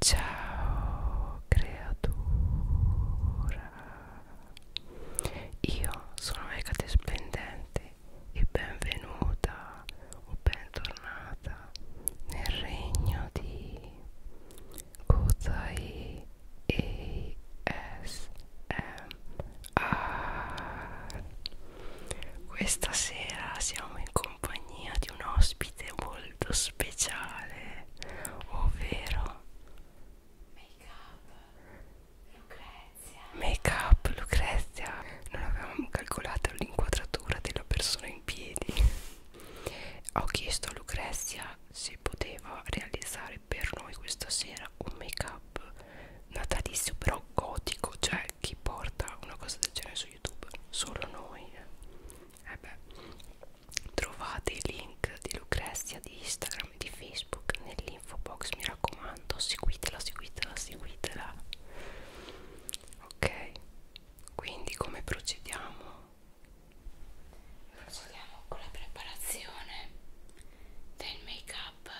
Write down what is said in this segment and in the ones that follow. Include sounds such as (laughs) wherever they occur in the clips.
Ciao creatura Io sono Megate Splendente e benvenuta o bentornata nel regno di Kutai ASMR Questa sera siamo in compagnia di un ospite molto molto speciale ovvero make up Lucrezia make up Lucrezia non avevamo calcolato l'inquadratura della persona in piedi ho chiesto a Lucrezia se poteva realizzare per noi questa sera un make up natalizio però gotico cioè chi porta una cosa del genere su youtube solo noi eh eh beh, trovate i link di Lucrezia di Instagram e di Facebook nell'info box mi raccomando seguitela seguitela seguitela ok quindi come procediamo? procediamo con la preparazione del make up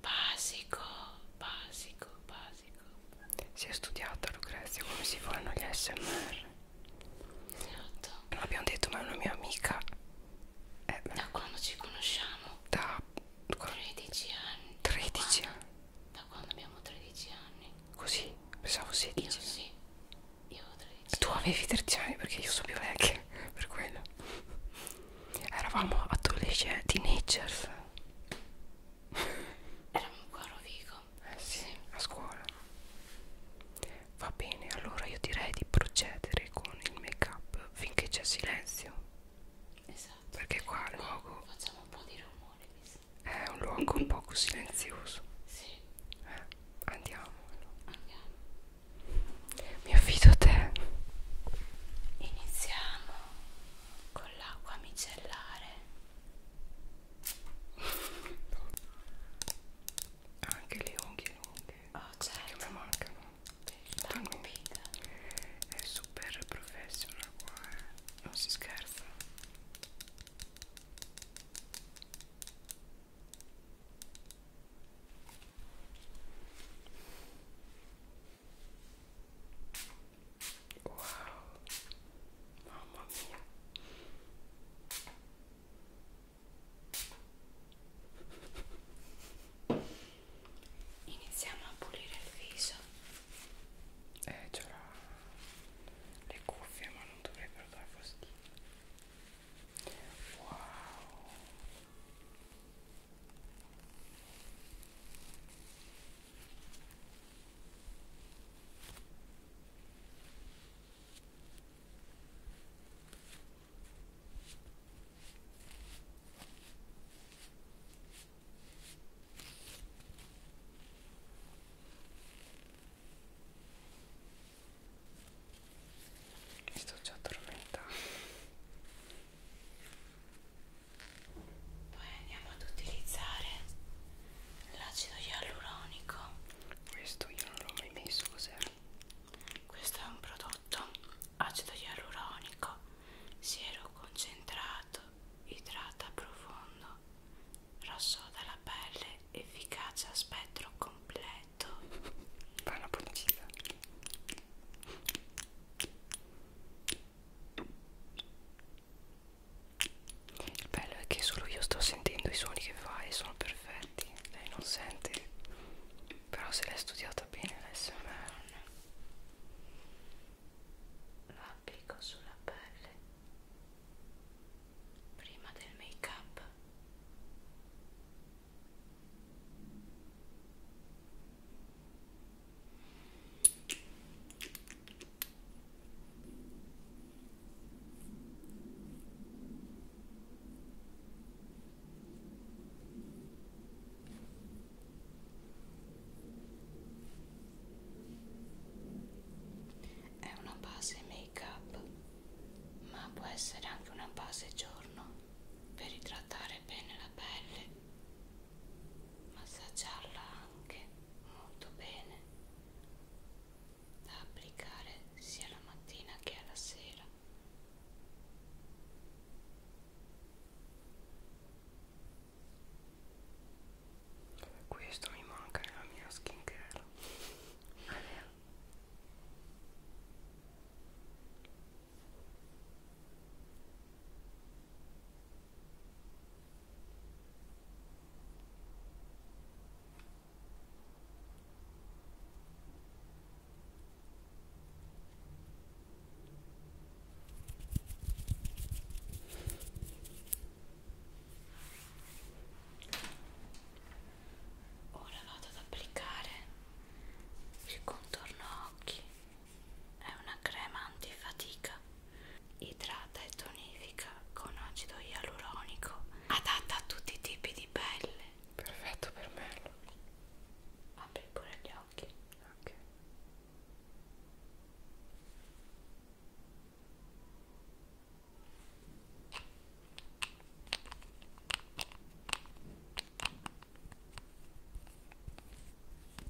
basico basico basico si è studiata Lucrezia come si fanno gli ASMR Esatto Non abbiamo detto ma è una mia amica eh, Da quando ci conosciamo? Da 13 anni 13 da quando, anni? Da quando abbiamo 13 anni Così? Pensavo 16 Io sì Io avevo 13 Tu avevi 13 anni perché io sono più vecchia (laughs) Per quello Eravamo adolescenti, teenagers Eravamo qua a Rovigo. Eh sì, sì, a scuola. Va bene, allora io direi di procedere con il make up finché c'è silenzio. Esatto. Perché qua il luogo. Facciamo un po' di rumore, mi sa. È un luogo un poco silenzioso. Sì. Eh, andiamo. Andiamo. Mi affido a te. Iniziamo con l'acqua micellare anche le unghie lunghe. Oh, certo. Che mi certo. mancano. Quindi, è super professional qua, eh. Non si scherza. Wow, mamma mia. Iniziamo a pulire il viso. Eh, c'ho le cuffie, ma non dovrebbero dare fastidio. Wow. Mi sto già addormentando poi andiamo ad utilizzare l'acido ialuronico questo io non l'ho mai messo cos'è? questo è un prodotto acido ialuronico siero concentrato idrata profondo rassoda la pelle efficacia spettro completo fa una puntita il bello è che solo io sto sentendo i suoni che fa e sono perfetti. Lei non sente, però se l'hai studiata bene l'SMR. Lo applico sulla pelle prima del make up. È una base make up, ma può essere anche una base giorno per idratare bene la pelle massaggiarla anche molto bene da applicare sia la mattina che alla sera questo mi manca nella mia skincare Allora (laughs) Ora vado ad applicare il contorno occhi. È una crema antifatica idrata e tonifica con acido ialuronico adatta a tutti i tipi di pelle perfetto per me apri pure gli occhi ok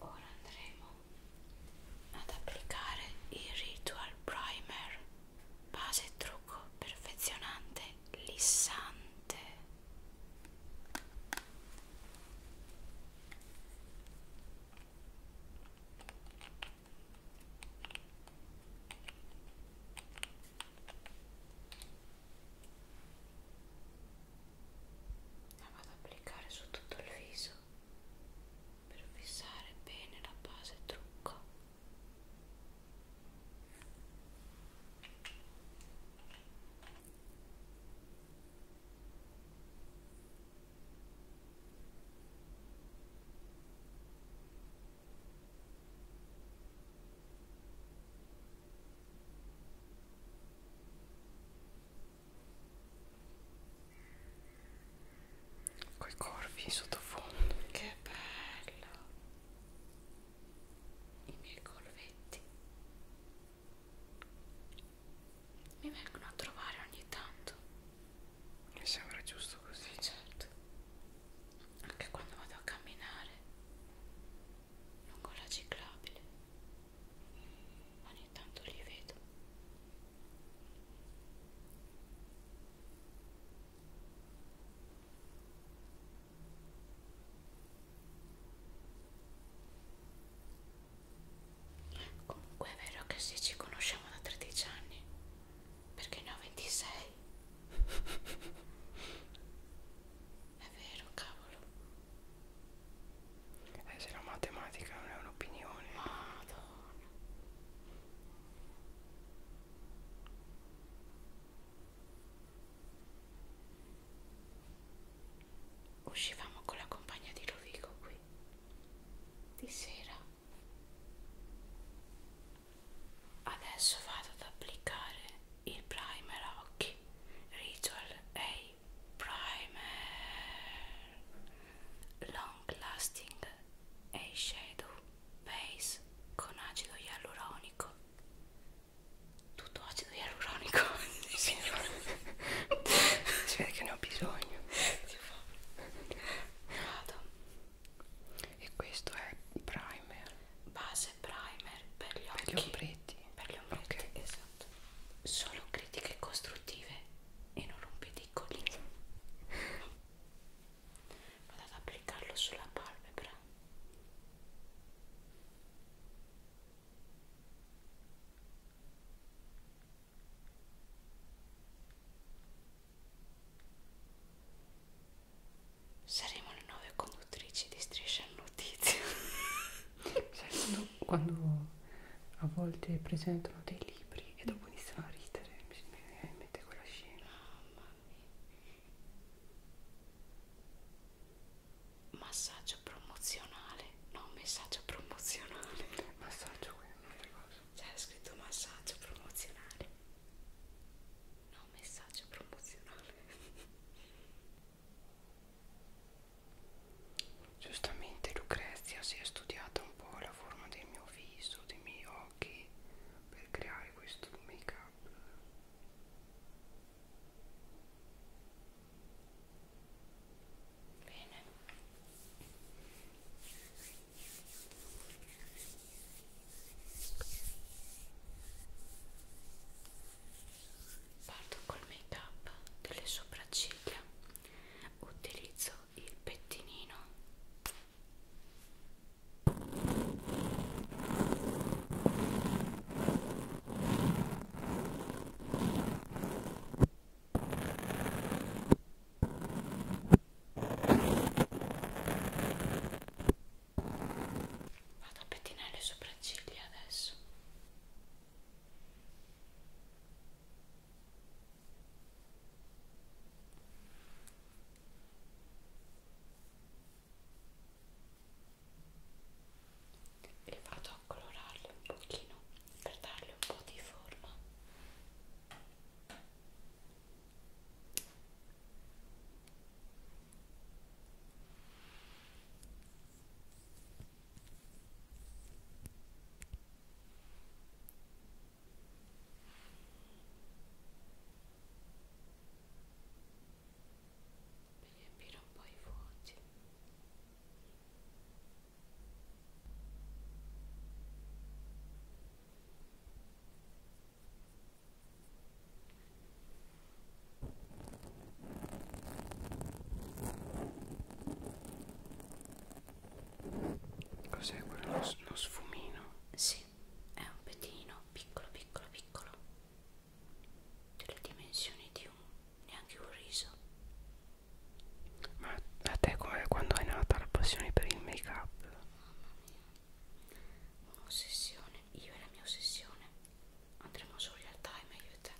ora andremo ad applicare il Ritual Primer base e trucco perfezionante lissante la vado ad applicare su tutto il viso per fissare bene la base trucco Ecco Coi corvi sottofondo. Che bello! I miei corvetti mi vengono a trovare ogni tanto. Mi sembra giusto così. Eh certo. Anche quando vado a camminare lungo la ciclabile ogni tanto li vedo comunque è vero che se ci conosciamo da 13 anni perché ne ho 26 (laughs) è vero cavolo eh, se la matematica non è un'opinione. Madonna. Uscivamo con la compagna di Rovigo qui. Di sera. Adesso vado ad applicare il primer a occhi Ritual A Primer Long Lasting Eyeshadow Base con acido ialuronico tutto acido ialuronico signore si vede che ne ho bisogno vado e questo è primer base primer per gli occhi per gli ombretti per gli ombretti okay. esatto esatto solo critiche costruttive e non rompedicoli (laughs) vado ad applicarlo sulla palpebra Saremo le nuove conduttrici di Striscia Notizia (laughs) Sai, quando, certo. quando a volte presentano dei libri e dopo iniziano a ridere, mi viene in mente quella scena. Oh, mamma mia. Massaggio promozionale, no, messaggio promozionale. Massaggio qui è un'altra cosa. C'era cioè, scritto massaggio promozionale. No, messaggio promozionale. Giustamente Lucrezia si è studiata un po' la forma del mio viso, dei miei occhi per creare questo make up. Bene parto col make up delle sopracciglia utilizzo il pettinino Vado a pettinare le sopracciglia adesso e vado a colorarle un pochino per darle un po' di forma per riempire un po' i vuoti Cos'è quello? Lo, lo sfumino? Sì, è un pettino piccolo, piccolo, piccolo, delle dimensioni di un neanche un riso. Ma a te come eh, quando è nata la passione per il make up? Mamma mia, un'ossessione, io e la mia ossessione andremo su real time aiuta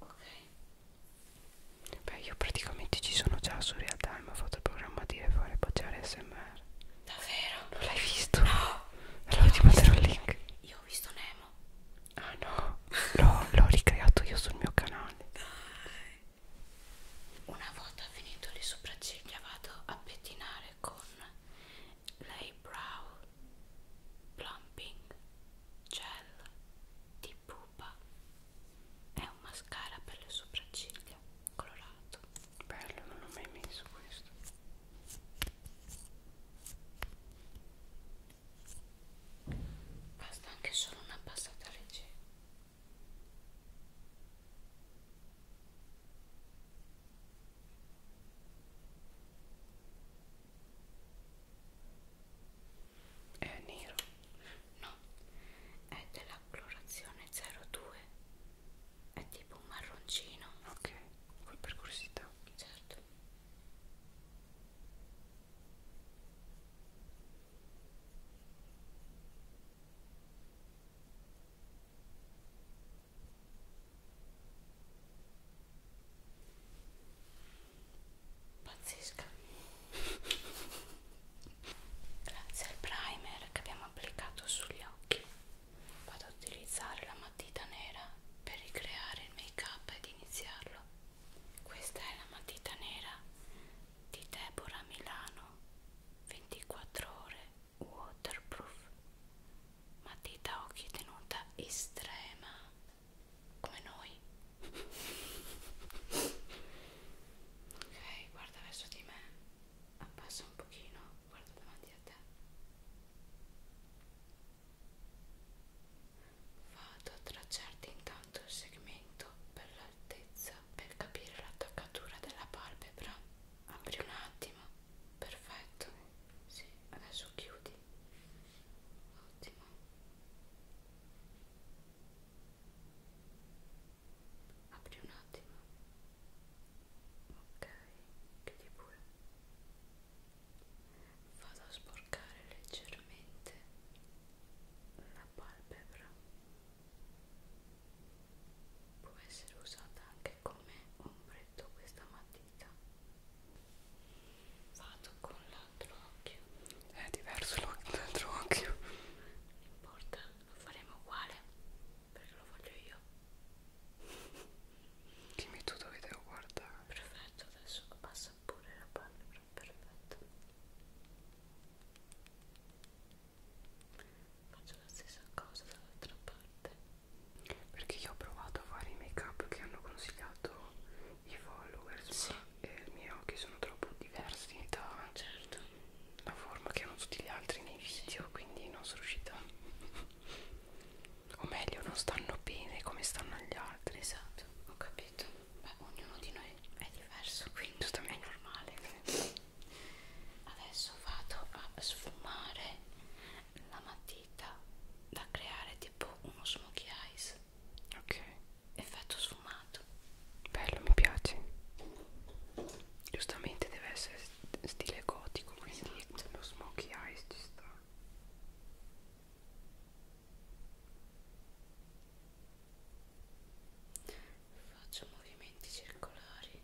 ok beh io praticamente ci sono già su real time ho fatto il programma di fare baciare smr davvero? non l'hai visto? no allora ti manderò il link io ho visto Nemo ah no l'ho ricreato io sul mio canale dai una volta finito le sopracciglia vado a pettinare lavorare con l'eyebrow plumping gel di pupa è un mascara per le sopracciglia colorato bello non l'ho mai messo questo basta anche solo una passata leggera è nero? No, è della colorazione 02. È tipo un marroncino. Ok, vuoi per curiosità? Certo. Pazzesca. Grazie al primer che abbiamo applicato sugli occhi vado ad utilizzare la matita nera per ricreare il make up ed iniziarlo. Questa è la matita nera di Deborah Milano 24 ore waterproof matita a occhi tenuta estrema come noi (laughs) ok guarda verso di me abbassa un pochino guarda davanti a te vado a tracciarti intanto il segmento per l'altezza per capire la toccatura della palpebra apri un attimo perfetto sì adesso chiudi ottimo apri un attimo ok chiudi pure vado a sporcare leggermente la palpebra può essere usata anche come ombretto questa mattina dita vado con l'altro occhio è diverso l'altro occhio non importa lo faremo uguale perché lo voglio io dimmi tu dove devo guardare perfetto adesso passa pure la pallora perfetto faccio la stessa cosa dall'altra parte perché io ho provato a fare i make up che hanno consigliato i follower sì. e i miei occhi sono troppo diversi da certo. la forma che hanno tutti gli altri nei video sì. quindi non sono riuscita o meglio non stanno bene come stanno agli altri esatto ho capito beh ognuno di noi è diverso quindi è normale adesso vado a sfumare la matita da creare tipo uno smokey eyes ok effetto sfumato bello mi piace giustamente deve essere stile gotico quindi esatto. lo smokey eyes ci sta faccio movimenti circolari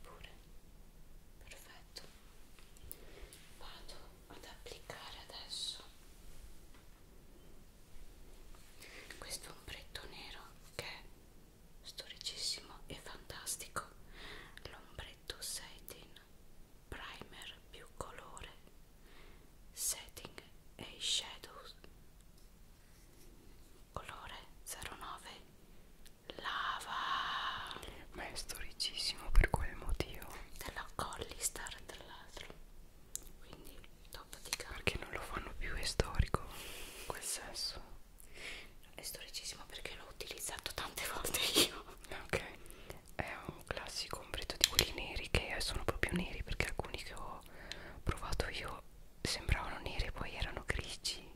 pure perfetto vado ad applicare adesso questo ombretto nero che è storicissimo e fantastico l'ombretto satin primer più colore, setting e i shadows, colore 09, lava. Ma è storicissimo per quel motivo. Della Colli Star tra l'altro, quindi top di gamma. Perché non lo fanno più, è storico in quel senso. È storicissimo perché l'ho utilizzato tante (laughs) volte io. Ok è un classico ombretto di quelli neri che sono proprio neri perché alcuni che ho provato io sembravano neri e poi erano grigi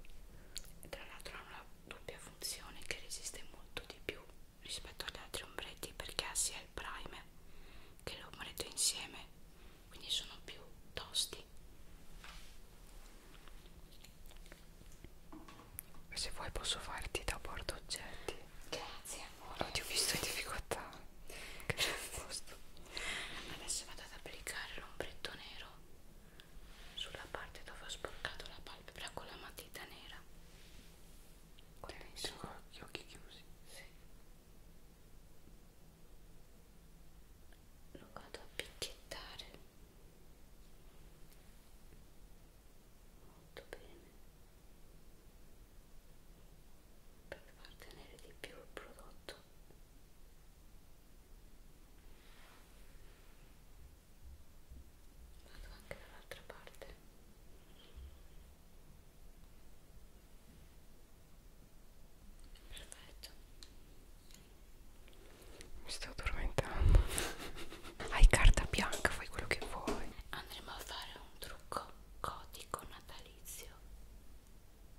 e tra l'altro hanno una doppia funzione che resiste molto di più rispetto agli altri ombretti perché ha sia il prime che l'ombretto insieme quindi sono più tosti se vuoi posso farti da porta oggetti Grazie amore. Oh, ti ho visto in difficoltà. Che c'è a posto. Adesso vado ad applicare l'ombretto nero sulla parte dove ho sporcato la palpebra con la matita nera. Guarda, sono gli occhi chiusi. Sì. Lo vado a picchiettare molto bene per far tenere di più il prodotto vado anche dall'altra parte perfetto mi sto addormentando (laughs) hai carta bianca fai quello che vuoi andremo a fare un trucco gotico natalizio,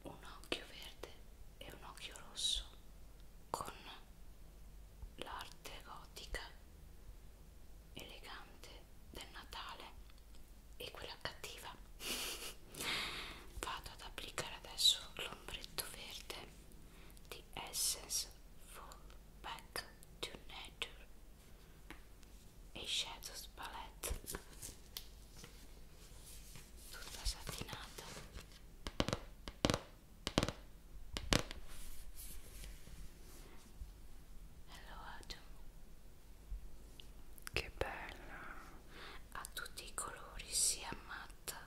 un occhio verde e un occhio rosso con l'arte gotica elegante del Natale e quella cattiva. (laughs) Vado ad applicare adesso l'ombretto verde di Essence Full Back to Nature e Shadows Palette tutta satinata e lo aggiungo che bella ha tutti i colori sia matta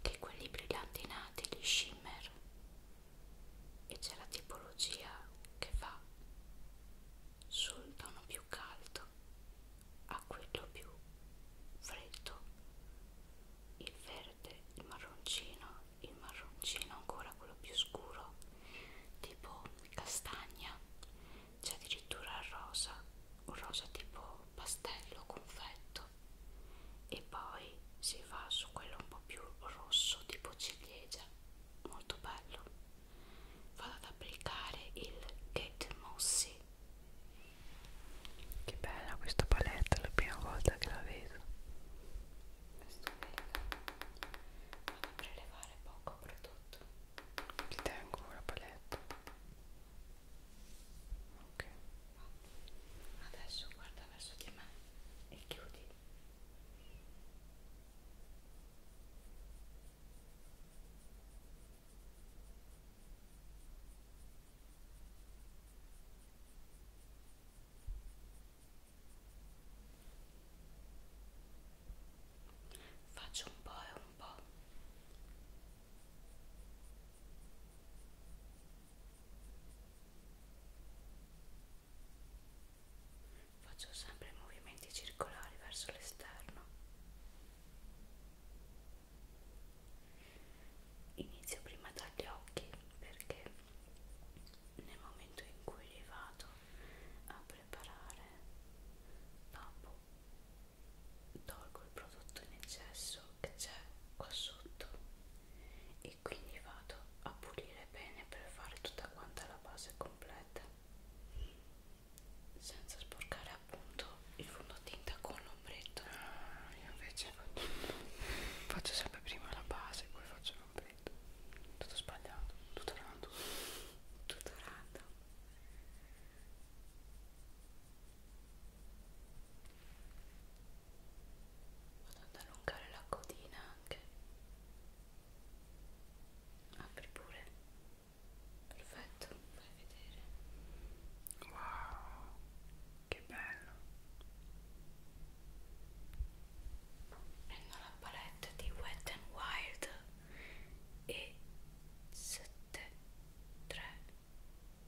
che quelli brillantinati gli shimmer e c'è la tipologia che va sul tono più caldo a quello più freddo il verde, il marroncino, il marroncino ancora quello più scuro tipo castagna c'è addirittura il rosa un rosa tipo pastello confetto e poi si va su quello un po' più rosso tipo ciliegia molto bello vado ad applicare il Get Mossy che bella questa palette è la prima volta che la vedo è stupenda vado a prelevare poco prodotto ti tengo la palette ok adesso guarda verso di me e chiudi Faccio un po' e un po'. Faccio sempre movimenti circolari verso l'esterno. Inizio prima dagli occhi perché nel momento in cui li vado a preparare dopo tolgo il prodotto in eccesso che c'è qua sotto e quindi vado a pulire bene per fare tutta quanta la base completa senza sporcare appunto il fondotinta con l'ombretto ah, io invece faccio, faccio sempre prima la base poi faccio l'ombretto tutto sbagliato tutto random tutto random vado ad allungare la codina anche apri pure perfetto fai vedere wow che bello prendo la palette di Wet n Wild e 7 3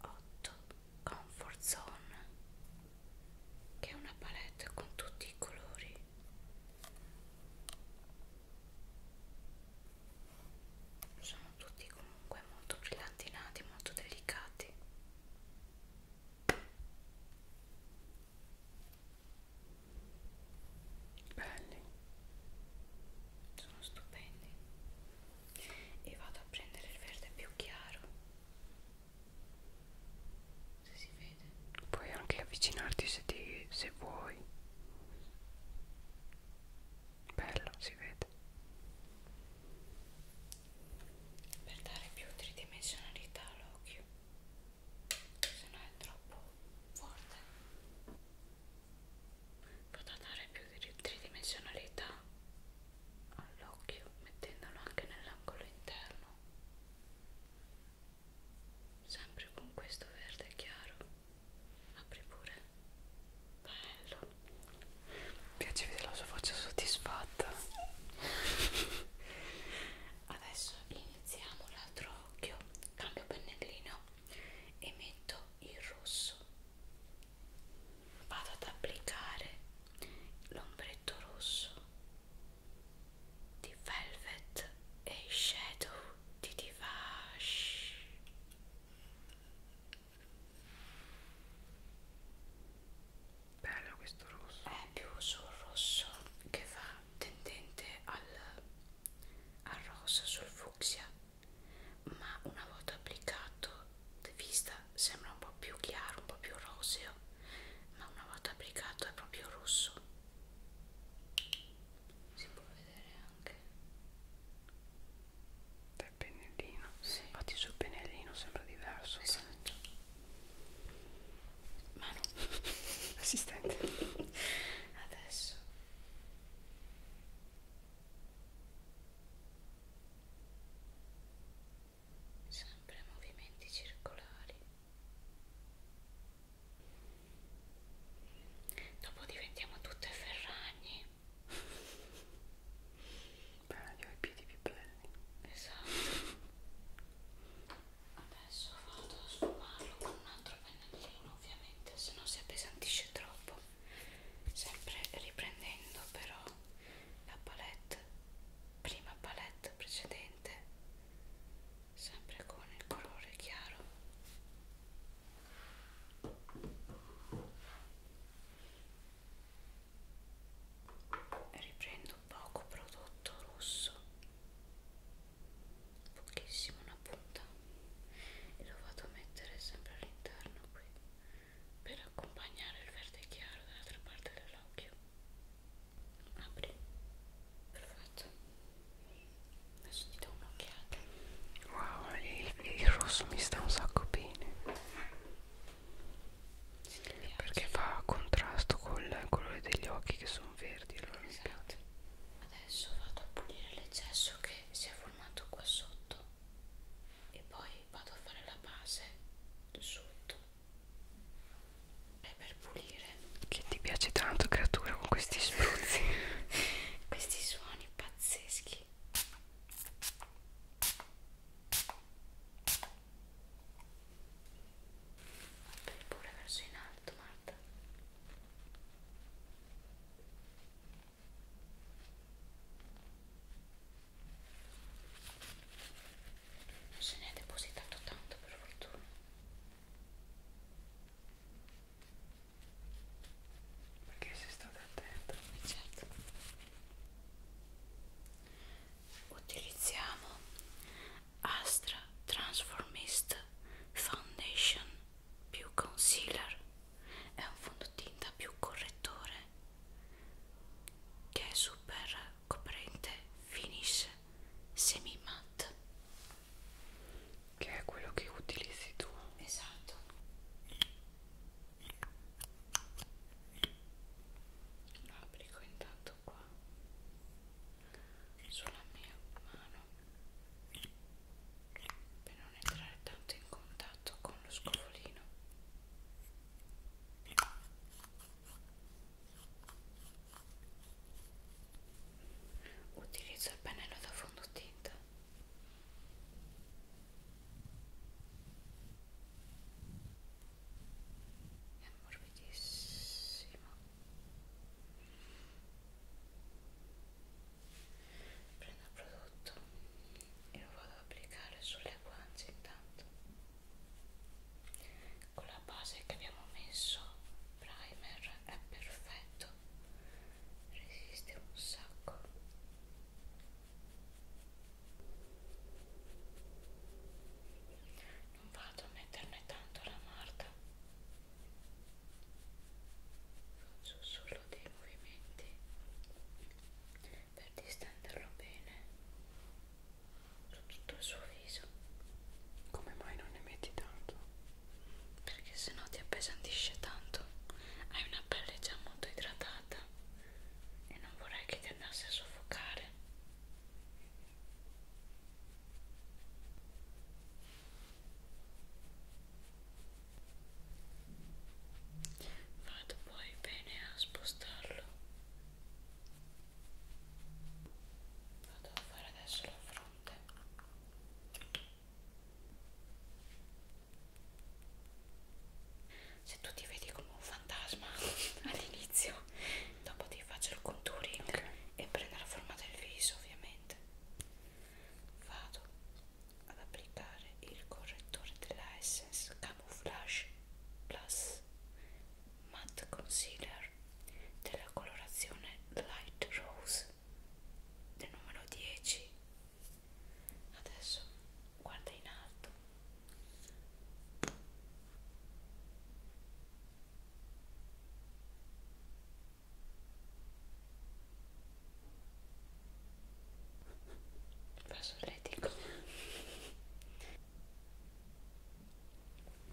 8 Comfort Zone che è una palette con tutti i colori sono tutti comunque molto brillantinati molto delicati belli sono stupendi e vado a prendere il verde più chiaro se si vede puoi anche avvicinarti se, ti, se vuoi bello si vede per dare più tridimensionalità all'occhio se no è troppo forte potrà dare più tridimensionalità all'occhio mettendolo anche nell'angolo interno sempre con questo verde chiaro apri pure bello mi piace vedere la sua faccia soddisfatta (laughs) adesso iniziamo l'altro occhio cambio pennellino e metto il rosso vado ad applicare l'ombretto rosso di Velvet e Shadow di Divash bello questo rosso è più sul rosso che va tendente al, al rosa sul fucsia ma una volta applicato di vista sembra un po' più chiaro un po' più roseo ma una volta applicato è proprio rosso si può vedere anche dal pennellino sì. infatti sul pennellino sembra diverso esatto mano (laughs) assistente adesso sempre movimenti circolari dopo diventiamo tutte ferragni beh io ho i piedi più belli esatto adesso vado a sfumarlo con un altro pennellino ovviamente se no si appesantisce troppo sempre riprendendo però la palette prima palette precedente sempre con il colore chiaro riprendo poco prodotto rosso pochissimo una punta e lo vado a mettere sempre all'interno qui per accompagnare il verde chiaro dall'altra parte dell'occhio apri perfetto adesso ti do un'occhiata wow il, il rosso mi sta un sacco bene perché fa contrasto col colore degli occhi che sono verdi allora esatto. adesso vado a pulire l'eccesso che si è formato qua sotto e poi vado a fare la base sotto è per pulire che ti piace tanto creatura con questi spruzzi (laughs) questi suoni pazzeschi per pure verso in alto Marta non se ne è depositato tanto per fortuna perché sei stata attenta certo utilizziamo Astra Transformist Foundation più concealer è un fondotinta più correttore che è super coprente finish semi matte che è quello che utilizzi tu esatto lo applico intanto qua sulla mia mano per non entrare tanto in contatto con lo scovolino Utilizzo il pennello da fondotinta. È morbidissimo. Prendo il prodotto e lo vado ad applicare sulle guance intanto con la base che abbiamo messo primer è perfetto resiste un sacco non vado a metterne tanto la marta faccio solo dei movimenti per distenderlo bene su tutto il suo viso come mai non ne metti tanto? perché sennò ti appesantisce tanto hai una pelle già molto idratata e non vorrei che ti andasse a soffocare Vado poi bene a spostarlo Vado a fare adesso la fronte. Se tu ti vedi come un fantasma (laughs) all'inizio, dopo ti faccio il contouring okay. e prendo la forma del viso ovviamente. Vado ad applicare il correttore della Essence Camouflage Plus matte concealer della colorazione light rose del numero 10 adesso guarda in alto passo letico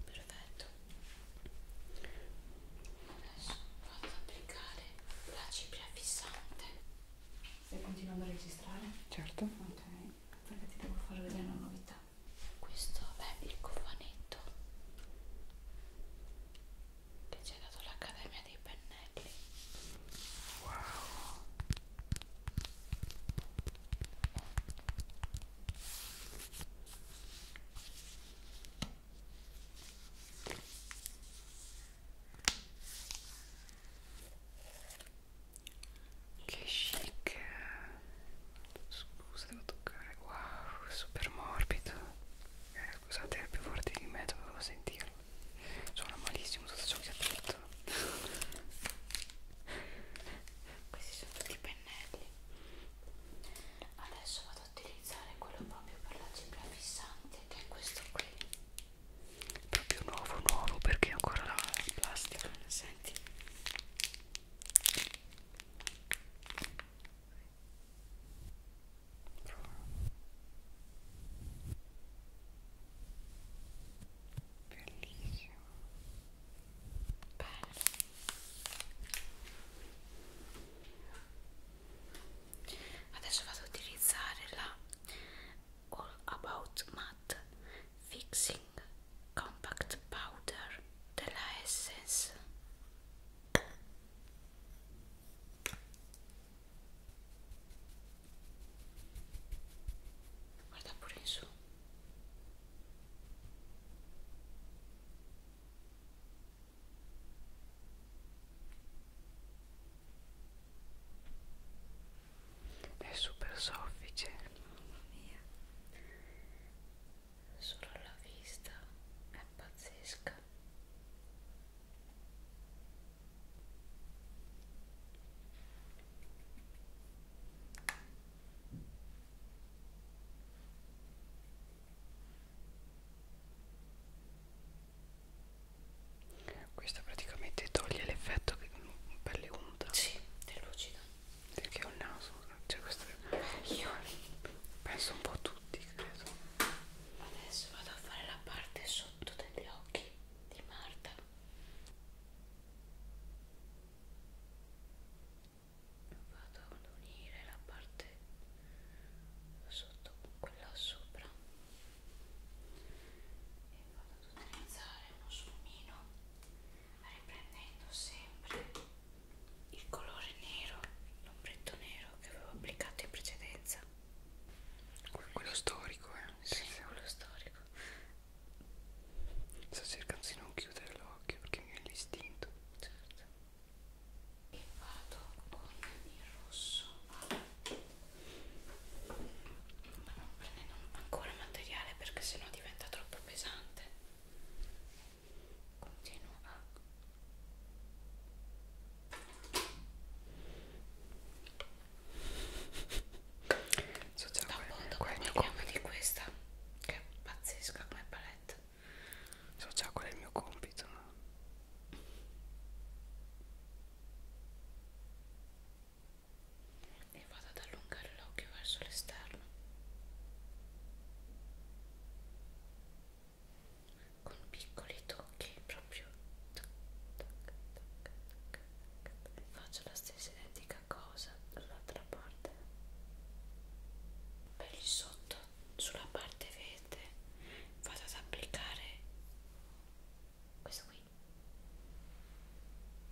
perfetto adesso vado ad applicare la cipria fissante stai continuando a registrare? certo ok perché ti devo far vedere una novità questo è il cofanetto che ci ha dato l'accademia dei pennelli wow che chic Scusa devo toccare Wow super morbido eh, Scusate più forte di me dovevo sentirlo Suona malissimo tutto ciò che ha detto questi sono tutti i pennelli adesso vado a utilizzare quello proprio per la cipria fissante che è questo qui proprio nuovo nuovo perché ancora la plastica eh, senti bellissimo Bene. Adesso vado ad utilizzare la All About Matte Fixing Compact Powder della Essence guarda pure in su è super soffice mamma mia solo la vista è pazzesca questo praticamente toglie l'effetto per le unta. Sì, è lucida. Perché ho il naso, cioè questo eh, io penso un po' a tutti, credo. Adesso vado a fare la parte sotto degli occhi di Marta vado ad unire la parte sotto con quella sopra e vado ad utilizzare uno sfumino riprendendo sempre il colore nero l'ombretto nero che avevo applicato in precedenza quello storico eh sì, quello storico Sto cercando di non chiudere l'occhio perché mi è l'istinto. E vado con il rosso. Ma non prendendo ancora materiale perché sennò diventa troppo pesante. Continuo a So già qual è il mio compito di questa che è pazzesca come palette. So già qual è il mio compito. E vado ad allungare l'occhio verso l'esterno. Con piccoli tocchi proprio. Tac, tac, tac, tac, tac. Faccio la stessa identica cosa dall'altra parte per il sotto sulla parte verde vado ad applicare questo qui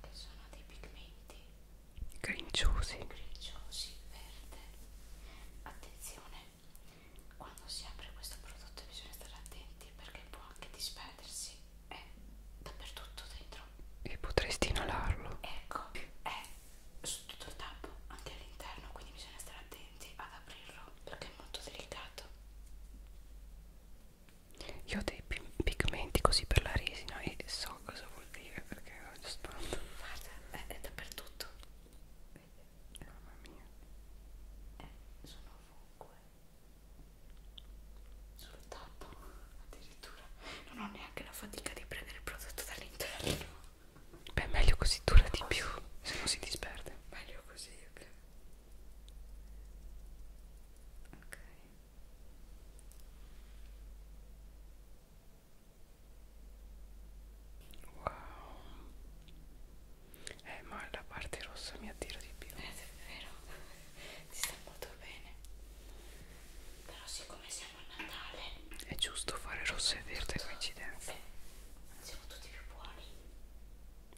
che sono dei pigmenti grinciosi grinciosi verde attenzione quando si apre questo prodotto bisogna stare attenti perché può anche disperdersi è dappertutto dentro e potresti inalarlo ecco è sotto il tappo anche all'interno quindi bisogna stare attenti ad aprirlo perché è molto delicato io ho dei pigmenti così per la resina e so cosa vuol dire perché ho spavento guarda è, è dappertutto mamma mia eh, sono ovunque sul tappo addirittura non ho neanche la fatica di prendere il prodotto dall'interno beh meglio così dura di più se non si disperde meglio così ok wow eh ma la parte rossa mi attira di più eh, è vero ti sta molto bene però siccome siamo a Natale è giusto fare rosso e verde coincidenza siamo tutti più buoni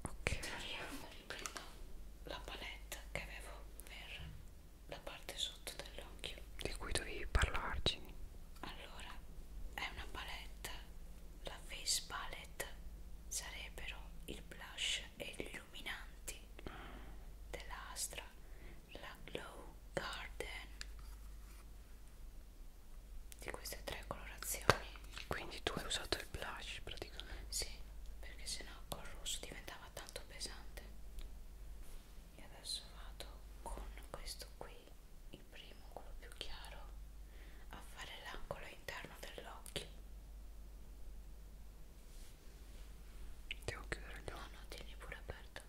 ok riprendo la palette che avevo per la parte sotto dell'occhio di cui dovevi parlarci allora è una palette la face palette sarebbero il blush e gli illuminanti della Astra, la Glow Garden di queste tre colorazioni. Quindi tu hai usato il blush praticamente? Sì, perché sennò col rosso diventava tanto pesante. E adesso vado con questo qui, il primo, quello più chiaro, a fare l'angolo interno dell'occhio. Devo chiudere gli occhi. No, no, tieni pure aperto.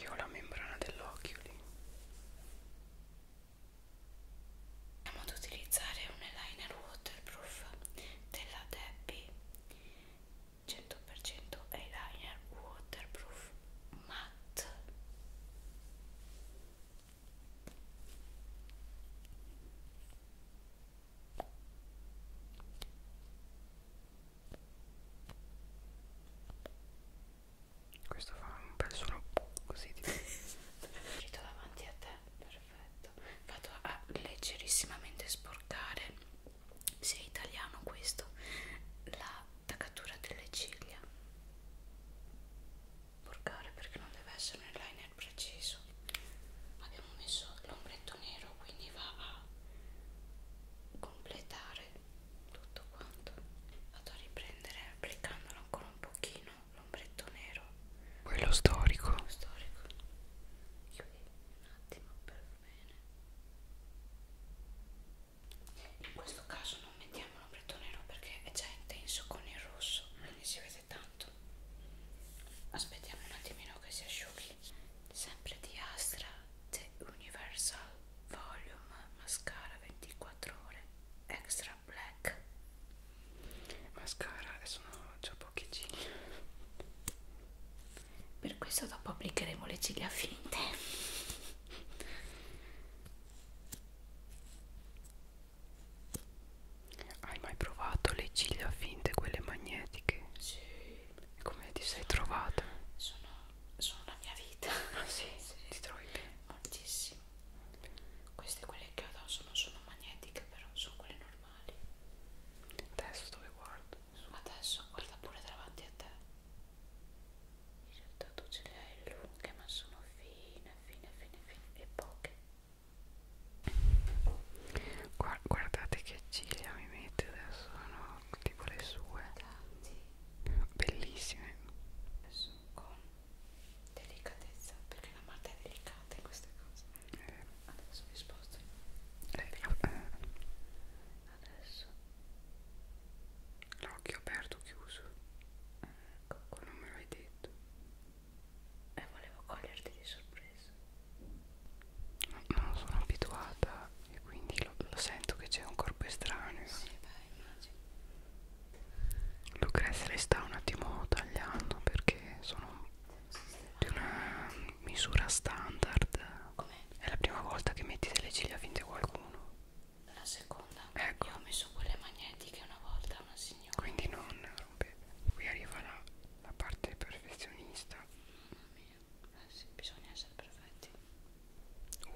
Io ho la membrana dell'occhio lì. Andiamo ad utilizzare un eyeliner waterproof della Debbie 100% eyeliner waterproof matte questo fa un bel suono così di Rito (laughs) davanti a te, perfetto. Vado a leggerissimamente sporcare, se è italiano questo, la taccatura delle ciglia porcare perché non deve essere un eyeliner preciso abbiamo messo l'ombretto nero quindi va a completare tutto quanto vado a riprendere applicandolo ancora un pochino l'ombretto nero quello storico quello storico chiudi un attimo per bene in questo caso non mettiamo l'ombretto nero perché è già intenso con il rosso quindi si vede piace tanto aspettiamo un attimino che si asciughi sempre di Astra The Universal Volume Mascara 24 ore Extra Black mascara e sono già pochi ciglia per questo dopo applicheremo le ciglia finte hai mai provato le ciglia finte, quelle magnetiche? Sì. E come ti sei trovata? Sono, sono la mia vita. Ah sì, sì. ti trovi bene? Moltissimo. Queste quelle che addosso non sono magnetiche, però sono quelle normali. Adesso dove guardo? Adesso guarda pure davanti a te. In realtà tu ce le hai lunghe, ma sono fine, fine, fine, fine e poche. Guardate che ciglia mi mette adesso, sono tipo le sue. Bellissime. Adesso con delicatezza, perché la marta è delicata in queste cose. Eh. Adesso mi sposto. Eh. Adesso eh. l'occhio aperto, chiuso. Ecco. ecco, non me l'hai detto e volevo coglierti di sorpresa non sono abituata e quindi lo, lo sento che c'è un corpo estraneo sì, beh, immagino Lucrezia le sta un attimo tagliando perché sono di una misura standard è la prima volta che metti delle ciglia finte a qualcuno la seconda ecco. io ho messo quelle magnetiche una volta a una signora signore quindi non rompete qui arriva la, la parte perfezionista mamma mia eh sì, bisogna essere perfetti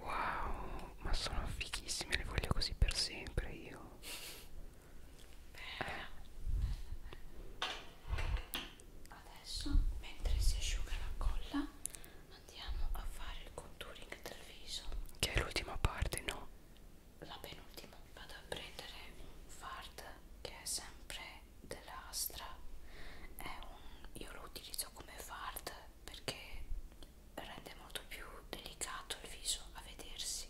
wow ma sono fighissime le voglio così per sempre io Beh. adesso mentre si asciuga la colla andiamo a fare il contouring del viso che è l'ultima parte no la penultima vado a prendere un fard che è sempre dell'Astra è un, io lo utilizzo come fard perché rende molto più delicato il viso a vedersi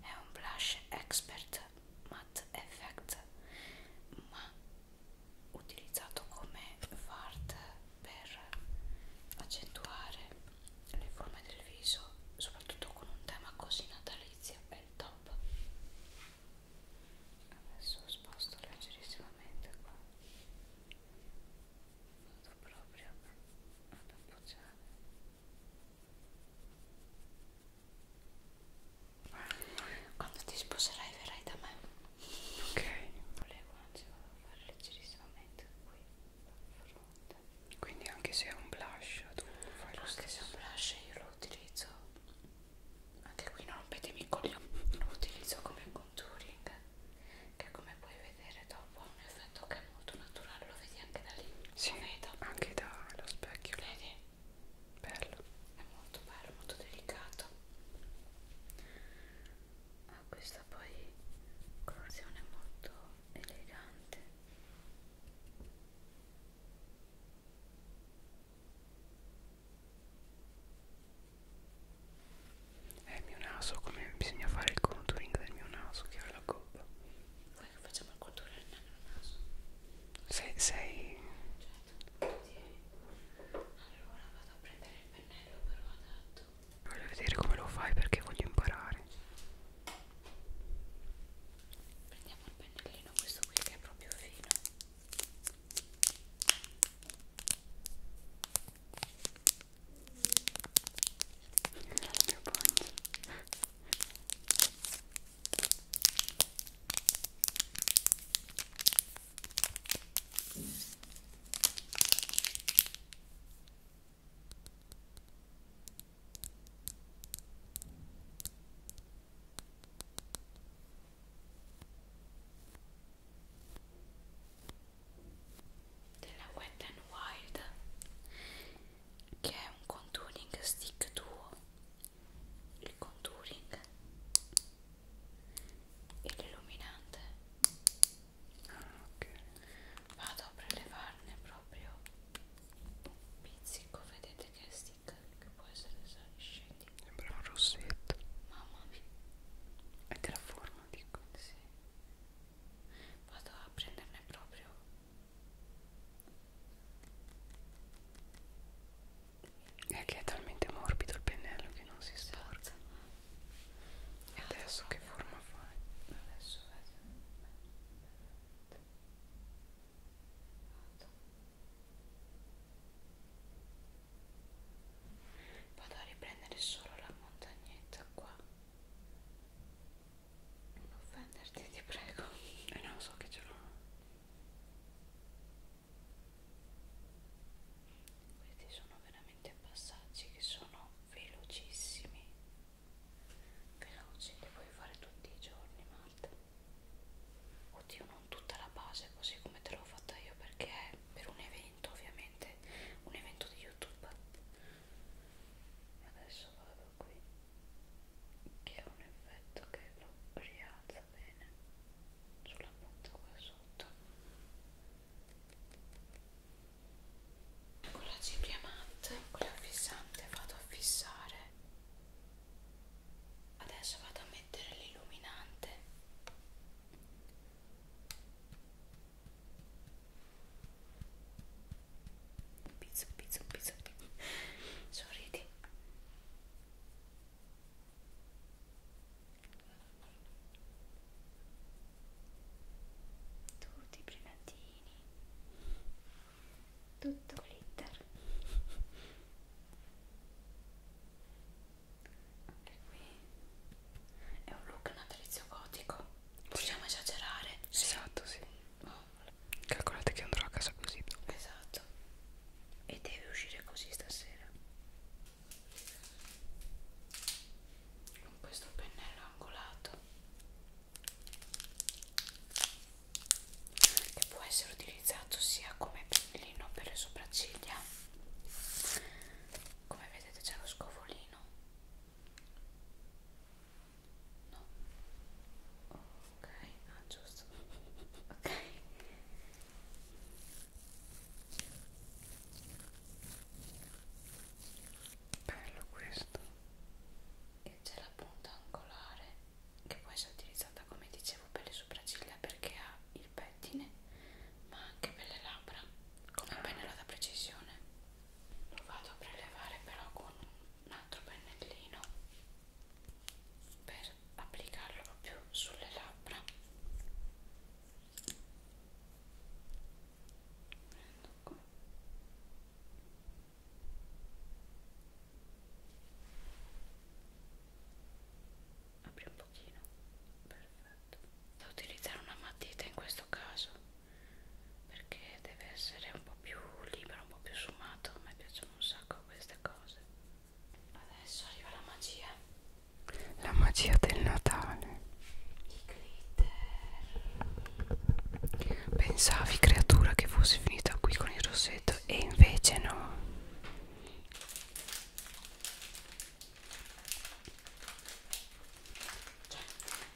è un blush expert matte effect ma utilizzato come fard per accentuare le forme del viso, soprattutto con un tema così natalizio, è il top. Adesso sposto leggerissimamente qua. Vado proprio ad appoggiare. Quando ti sposerai verrai da me. Ok. Volevo anzi vado a fare leggerissimamente qui, dal fronte. Quindi anche se è un blush tu fai lo Anche se è un blush io lo utilizzo Anche qui non rompetemi i coglioni (laughs) Lo utilizzo come contouring Che come puoi vedere dopo ha un effetto che è molto naturale Lo vedi anche da lì Sì, vedo. anche dallo specchio Vedi? Bello È molto bello, molto delicato ha ah, questa poi colorazione molto elegante è eh, il mio naso come bisogna fare il contouring del mio naso che ha la gobba vuoi che facciamo il contouring del mio naso? sei sei certo, allora vado a prendere il pennello però adatto Voglio vedere come lo fai perché voglio imparare. Prendiamo il pennellino, questo qui che è proprio fino. Mio (laughs) bagno della Wet n Wild che è un contouring stick duo il contouring e l'illuminante Ah, ok. Vado a prelevarne proprio un pizzico, vedete che stick che può essere scendi. Sembra un rossetto. Mamma mia. È della forma, dico. Sì. Vado a prenderne proprio è che è talmente morbido il pennello che non si sporca esatto. E adesso che forma fai? Adesso vedo Vado a riprendere solo la montagnetta qua. Non offenderti, ti prego. E eh non so che ce l'ho. Questi sono veramente passaggi che sono velocissimi veloci, li puoi fare tutti i giorni Marta oddio non tutta la base così come te l'ho fatta io perché è per un evento ovviamente un evento di youtube adesso vado qui che è un effetto che lo rialza bene sulla punta qua sotto con la cipria matte con la fissante vado a fissare adesso vado a mettere l'illuminante pizzo pizzo pizzo pizzo sorridi tutti i brillantini tutto glitter anche qui è un look natalizio gotico possiamo sì. esagerare sì. esatto sì oh. calcolate che andrò a casa così esatto e deve uscire così stasera con questo pennello angolato che può essere utilizzato sia come pennellino per le sopracciglia come vedete c'è lo scovolino no ok ah giusto ok bello questo e c'è la punta angolare che può essere utilizzata come dicevo per le sopracciglia perché ha il pettine ma anche per le labbra come ah. pennello da precisione lo vado a prelevare però con un altro pennellino per applicarlo proprio sulle labbra prendo qua apri un pochino perfetto devo utilizzare una matita in questo caso perché deve essere un po' più libero un po' più sfumato a me piacciono un sacco queste cose adesso arriva la magia la magia del Natale i glitter pensavi creatura che fosse finita qui con il rossetto e invece no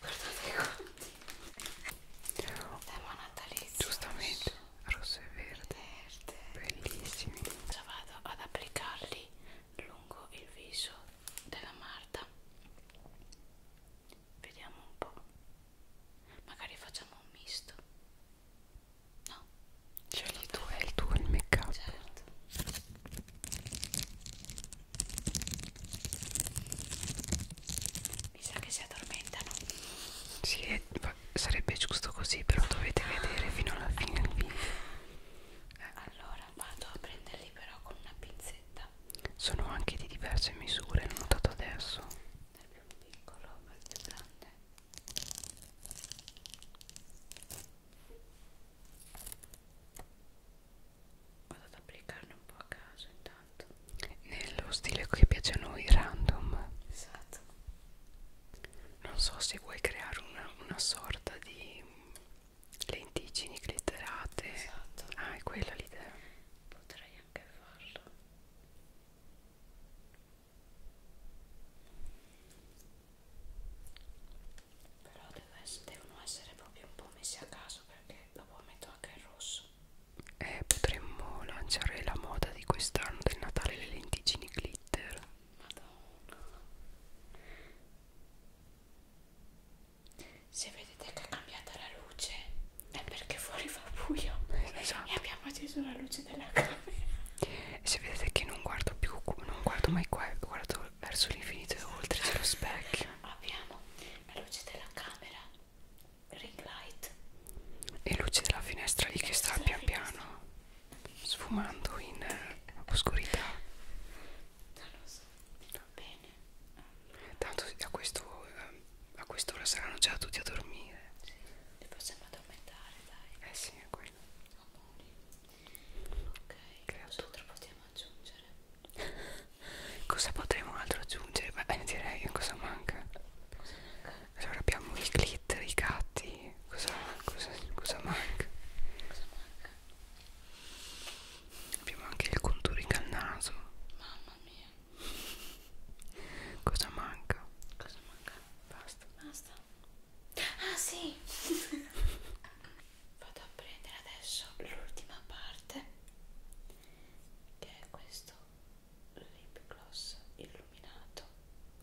guardate quanti tema natalizio giustamente rosso e verde, verde. bellissimi già vado ad applicarli lungo il viso della Marta vediamo un po' magari facciamo un misto no cioè il tuo è il tuo il make up certo mi sa che si addormentano sì, è, sarebbe giusto così però dovete ah. vedere fino alla fine il video allora vado a prenderli però con una pinzetta cassetta sono anche di diverse misure l'ho notato adesso dal più piccolo al più grande vado ad applicarne un po' a caso intanto nello stile che piace a noi random esatto non so se vuoi creare una, una sorta di Lenticini glitterate. Esatto. Ah, è quella l'idea. Potrei anche farlo. Però essere, devono essere proprio un po' messi a caso perché dopo metto anche il rosso. Eh, potremmo lanciare la moda di quest'anno del Natale le lenticini glitter. Madonna se vedete che è cambiata la luce è perché fuori fa buio esatto. e abbiamo acceso la luce della camera e se vedete che non guardo più non guardo mai qua guardo verso l'infinito e oltre c'è lo specchio abbiamo la luce della camera ring light e luce della finestra lì che sta pian piano sfumando in eh, oscurità non lo so Va bene. Tanto a questo eh, a quest'ora saranno già tutti a dormire. Sì, li possiamo addormentare, dai. Eh sì, è quello. Amori. Ok, Creatura. cosa possiamo aggiungere? (laughs) cosa potremmo altro aggiungere? Beh, eh, direi cosa manca. Cosa manca? Allora abbiamo i glitter, i gatti. Cosa, cosa, cosa manca? Cosa manca? abbiamo anche il contouring al naso mamma mia cosa manca? cosa manca? basta basta ah sì (laughs) vado a prendere adesso l'ultima parte che è questo lip gloss illuminato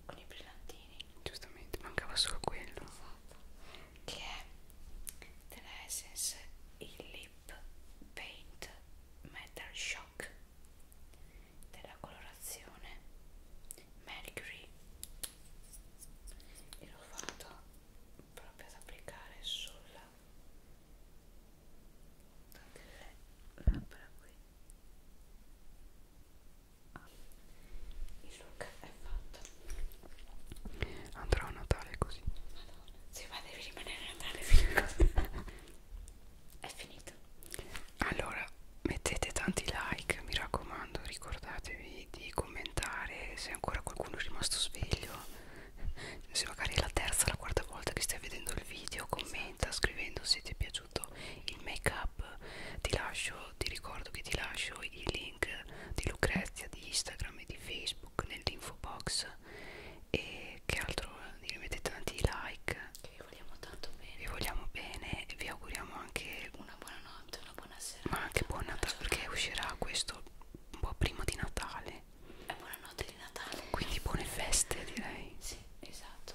con i brillantini giustamente mancava solo quello esatto che è della Essence il Lip Paint Metal Shock della colorazione Mercury e lo vado proprio ad applicare sulla delle labbra qui ah, il look è fatta. Andrò a Natale così. Madonna, sì, ma devi rimanere a Natale fino È finito. Allora, mettete tanti like, mi raccomando, ricordatevi di commentare se ancora qualcuno è rimasto sveglio. Se magari è la terza o la quarta volta che stai vedendo il video, commenta esatto. scrivendo se ti è piaciuto il make up. Ti lascio, ti ricordo che ti lascio i link link di Lucrezia di Instagram e di Facebook nell'info box e che altro vi mettete tanti like che vi vogliamo tanto bene vi vogliamo bene e vi auguriamo anche una buona notte una buona sera ma anche buon Natale perché uscirà questo un po' prima di Natale è eh, buonanotte di Natale quindi buone feste direi sì esatto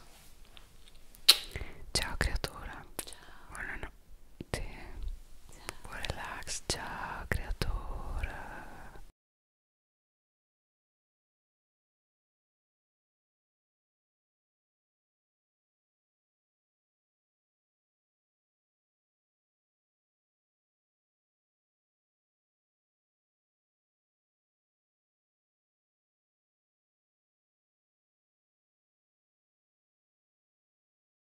ciao creatora ciao buonanotte sì. Buon relax, ciao creatore.